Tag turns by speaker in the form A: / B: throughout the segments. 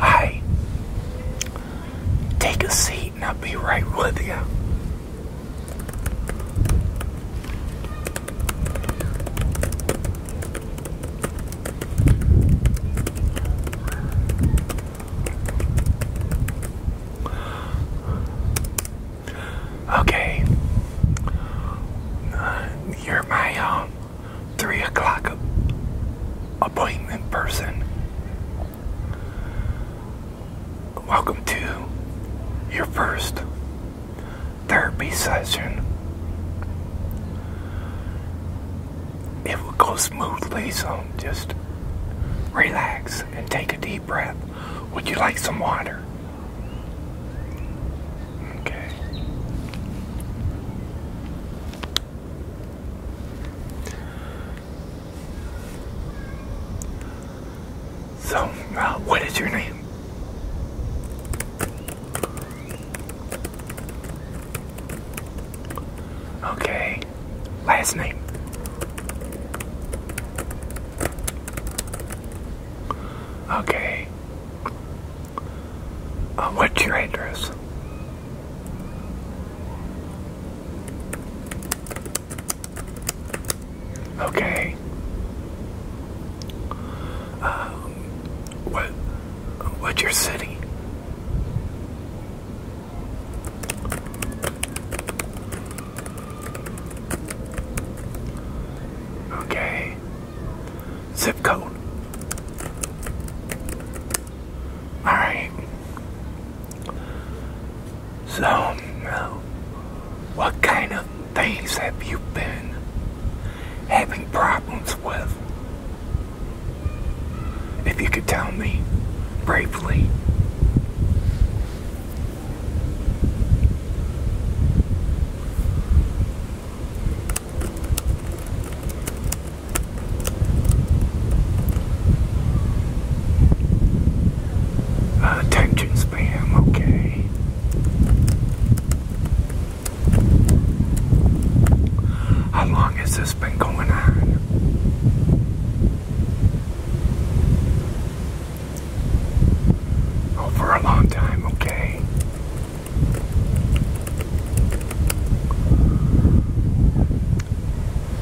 A: Hi. Take a seat and I'll be right with you. Okay. Uh, you're my um three o'clock appointment person. Welcome to your first therapy session. It will go smoothly, so just relax and take a deep breath. Would you like some water? Okay. So, uh, what is your name? Okay. Last name. Okay. Uh, what's your address? Okay. Um, what? What's your city? Okay zip code. Alright. So, what kind of things have you been having problems with? If you could tell me briefly attention spam, okay. How long has this been going on? Oh, a long time, okay.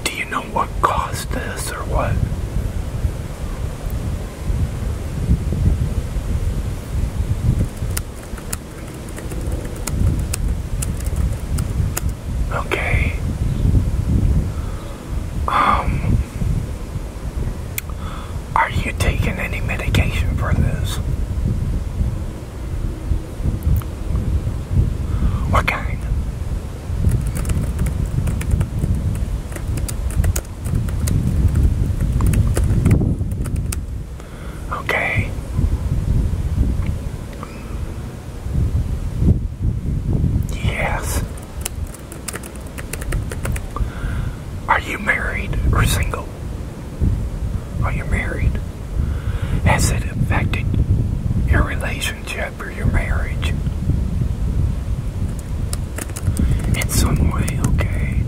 A: Do you know what caused this or what? Okay. Um are you taking any medication for this? What kind? Okay. Yes. Are you married or single? Are you married? Has it affected your relationship or your marriage? In some way, okay.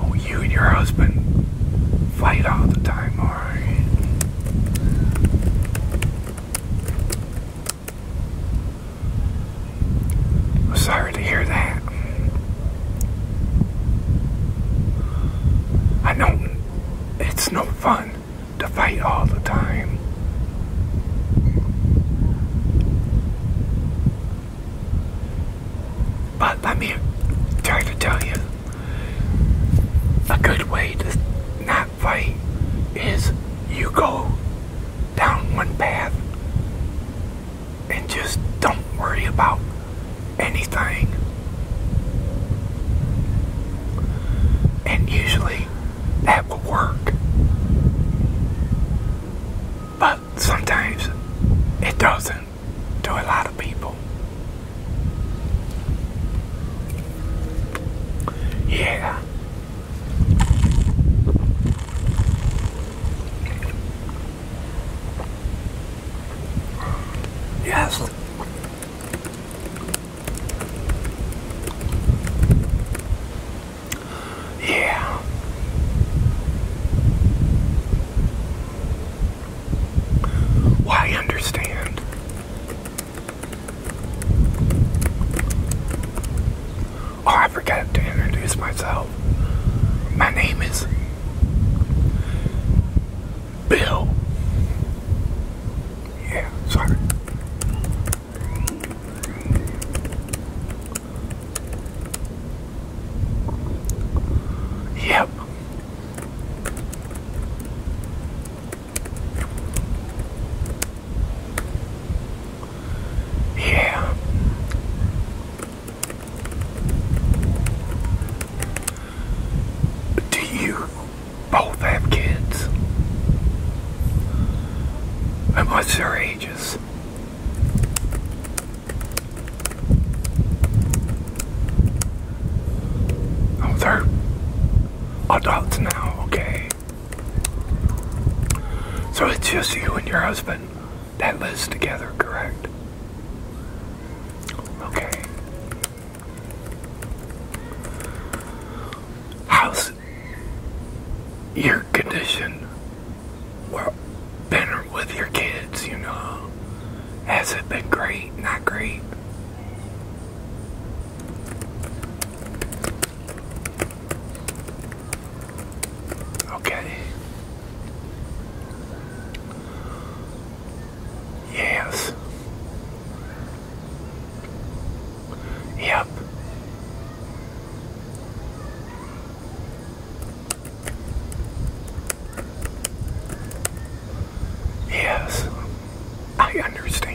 A: Oh, you and your husband fight all the time, alright? I'm sorry to hear that. I know it's no fun to fight all the time. But let me try to tell you a good way to not fight is you go down one path and just don't worry about anything. And usually that will work. But sometimes it doesn't to a lot of people. Yeah. Yes. Yeah. Why understand? Oh, I forgot to introduce myself. My name is Bill. Yeah, sorry. Yep. Yeah. Do you both have kids? And what's their ages? Oh, they're adults now, okay. So it's just you and your husband that lives together, correct? Okay. How's your condition? Well, been with your kids, you know? Has it been great? Not great? Okay. Yes. Yep. Yes, I understand.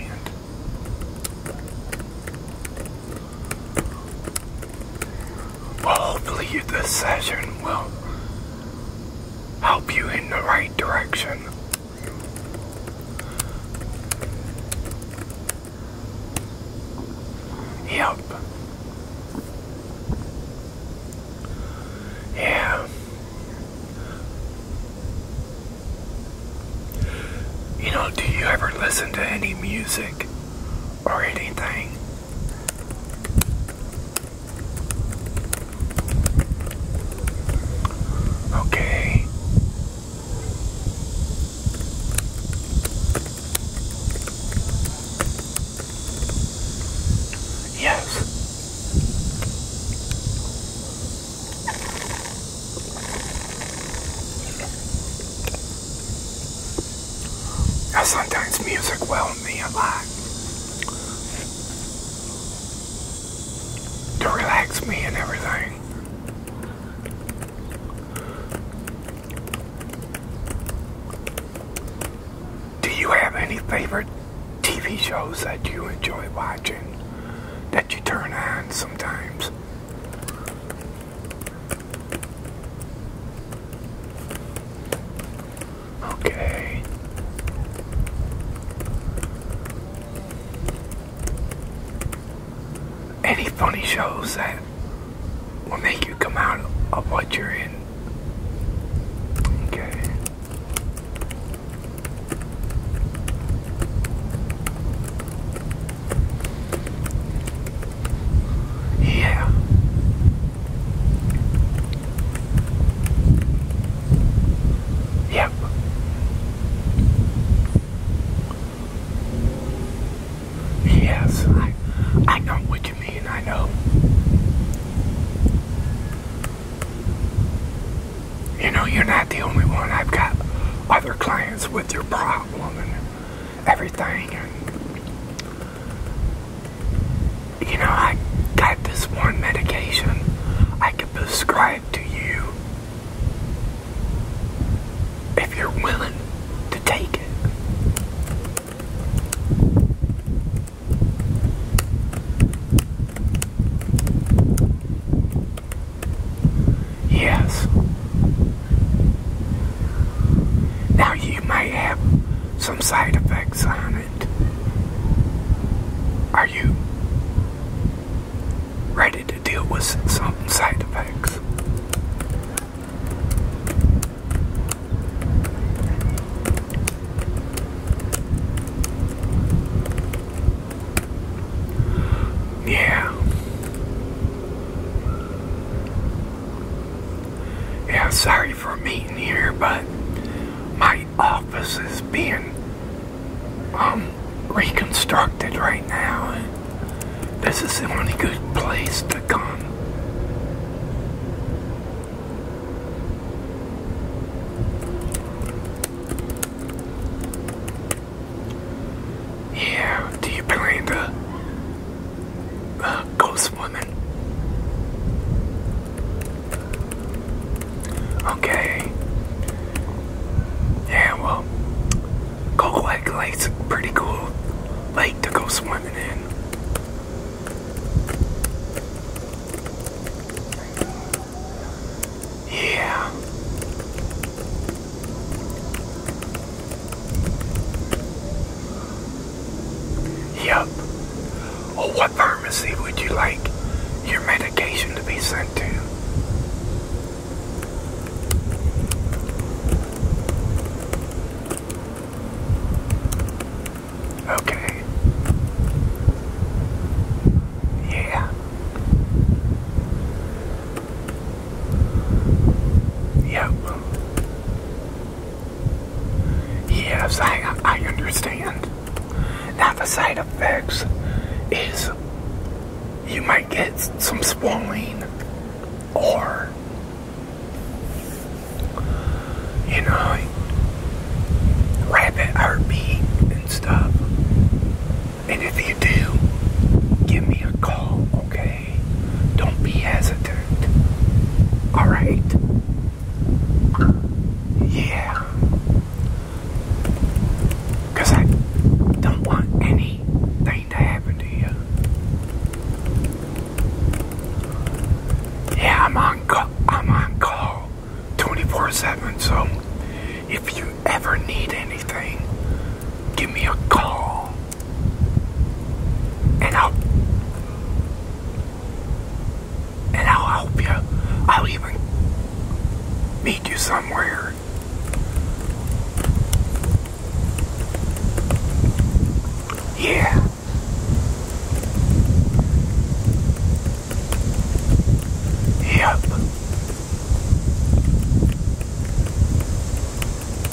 A: Well, hopefully this session will help you in the right direction. Yep. Yeah. You know, do you ever listen to any music or anything. Okay. Yes. Now sometimes music well me a lot to relax me and everything. Do you have any favorite TV shows that you enjoy watching that you turn on sometimes? Okay. Any funny shows that will make you come out of what you're in? Okay. Yeah. Yep. Yes, I, I know what you mean, I know. You know, you're not the only one. I've got other clients with your problem and everything you know, I got this one medication I could prescribe to you if you're willing to take it. Yes. Now you may have some side effects on it. Are you ready to deal with some side effects? Yeah. Yeah, sorry for meeting here, but my office is being um, reconstructed right now. And this is the only good place to come. Yeah, do you plan to... Uh, Ghost Woman. Okay. Yeah, well, Cold Lake a pretty cool lake to go swimming in. Yeah. Yep. Or what pharmacy would you like your medication to be sent to? Okay. Yeah. Yep. Yes, I, I understand. Now, the side effects is you might get some swelling or, you know, rapid heartbeat and stuff. And if you do, give me a call, okay? Don't be hesitant. Alright? Yeah. Because I don't want anything to happen to you. Yeah, I'm on, I'm on call 24 7, so if you ever need anything, give me a call and I'll and I'll help you. I'll even meet you somewhere. Yeah. Yep.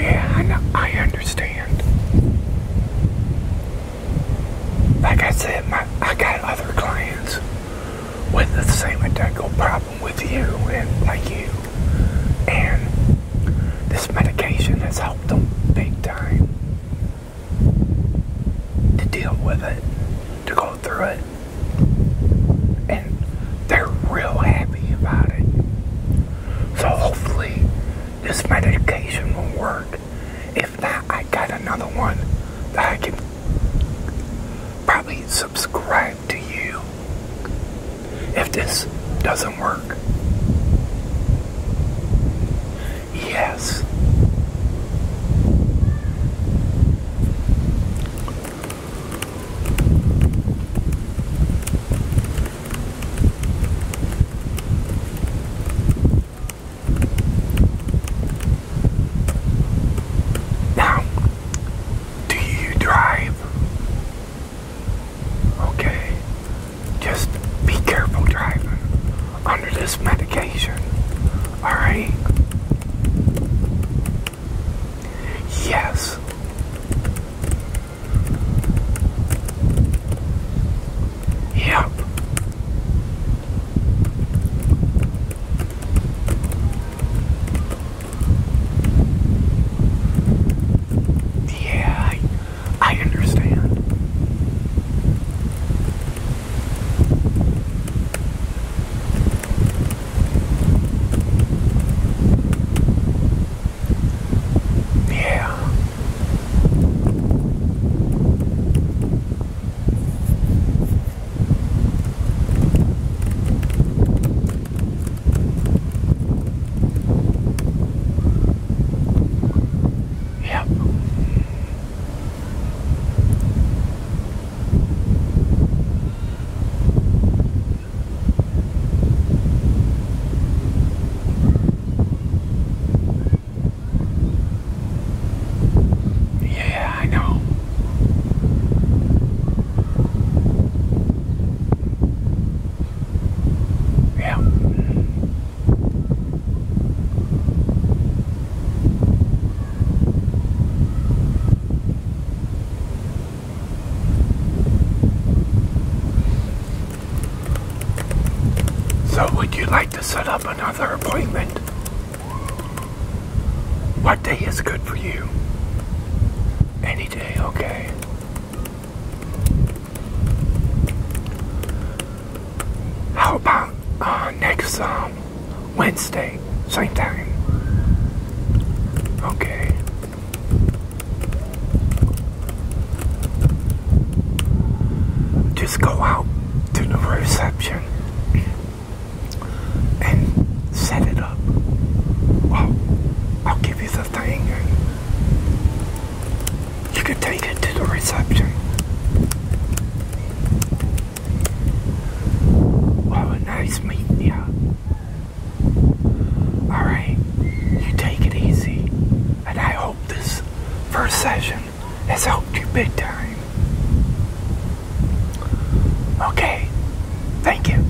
A: I I understand. got other clients with the same identical problem with you and like you. And this medication has helped them big time to deal with it, to go through it. And they're real happy about it. So hopefully this medication will work. If not, I got another one that I can probably subscribe to you if this doesn't work. Yes. do you drive? Okay, just be careful driving under this medication. Alright? Yes. Yep. Yeah, I understand. Yeah. Yep. Yeah, I know. Yeah. So would you like to set up another appointment? What day is good for you? Any day, okay. How about uh, next um, Wednesday, same time? Okay. Just go out to the reception and set it up. I'll give you the you can take it to the reception. oh, nice meeting you. Alright, you take it easy. And I hope this first session has helped you big time. Okay, thank you.